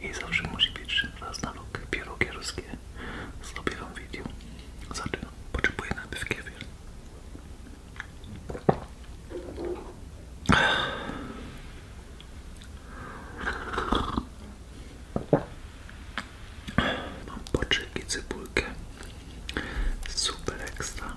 i zawsze musi być raz na rok pierogi ruskie. Zrobię wam video. Zatem potrzebuję najpierw kiewier. Mam poczyki, cebulkę. Super ekstra.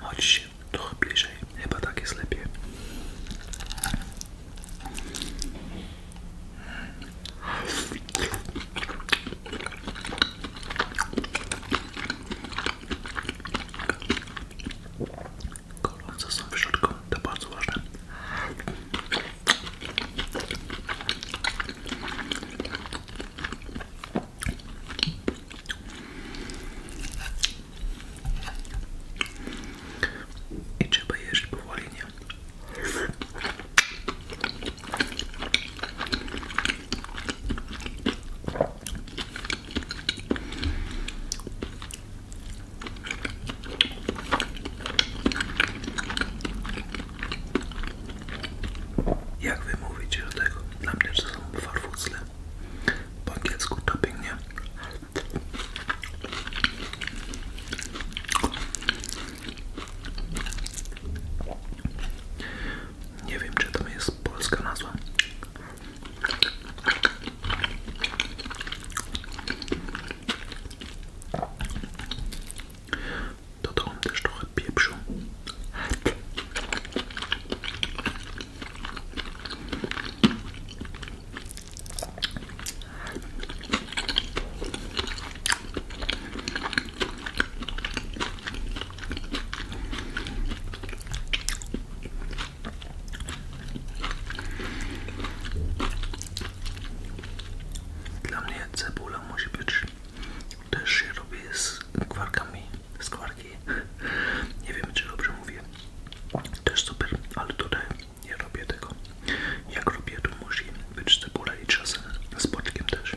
Chodź trochę bliżej, chyba tak jest lepiej gorące są w środku, to bardzo ważne. I trzeba jeść powoli, jak wy mówicie do tego? Na mnie są farfucle. Po angielsku nie? Nie wiem, czy to jest polska nazwa. Dodałem też trochę pieprzu. Dla mnie cebula musi być, też się robi z kwarkami, z kwarki. Nie wiem, czy dobrze mówię. To jest super, ale tutaj nie robię tego. Jak robię, to musi być cebula i czasem z boczkiem też.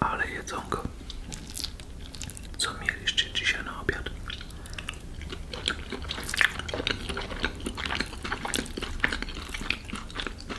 Ale jedzonko. Co mieliście dzisiaj na obiad?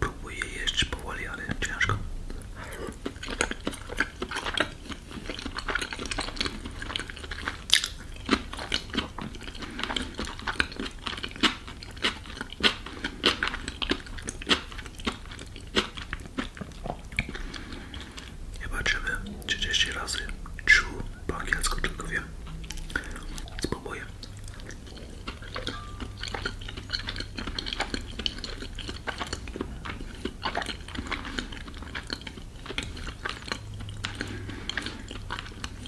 Próbuję jeść powoli, ale ciężko. Zobaczymy trzydzieści razy czu po angielsku tylko wiem.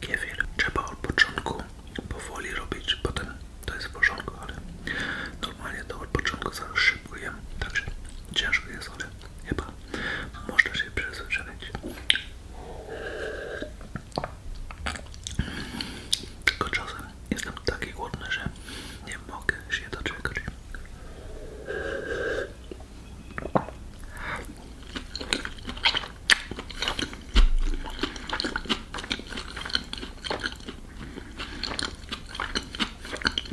Kiewier trzeba od początku powoli robić, potem to jest w porządku, ale normalnie to od początku zawsze szybko także ciężko jest, ale chyba można się przyzwyczaić. Tylko czasem jestem taki głodny, że nie mogę się doczekać.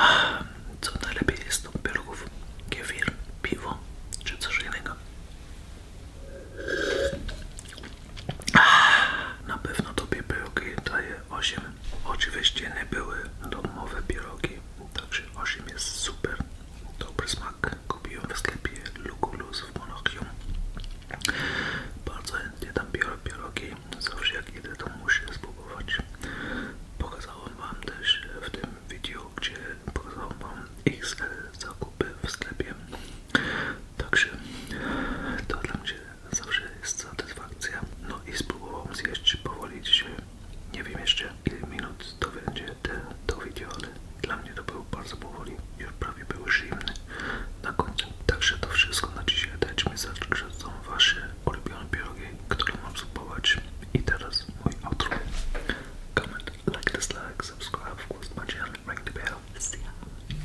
Ah, co najlepiej jest do pierogów? Kefir, piwo czy coś innego? Na pewno tobie pierogi daje 8. Oczywiście nie były domowe pierogi, także 8 jest super. Dobry smak. Kupiłem w sklepie Lukulus w Monachium. Bardzo chętnie dam biorę pierogi. Zawsze jak idę to muszę spróbować. Pokazałem wam też w tym wideo, gdzie pokazałem wam XL zakupy w sklepie. Także to dla mnie zawsze jest satysfakcja. No i spróbowałam zjeść powoli dzisiaj. Nie wiem jeszcze ile minut to będzie te, to video, ale dla mnie to było bardzo powoli. Już prawie były zimne na koniec Także to wszystko na dzisiaj. Dajcie mi znać, że są wasze ulubione pierogi, które mam spróbować. I teraz mój outro. Comment, like, dislike, subscribe, of course, my ring the bell. See ya.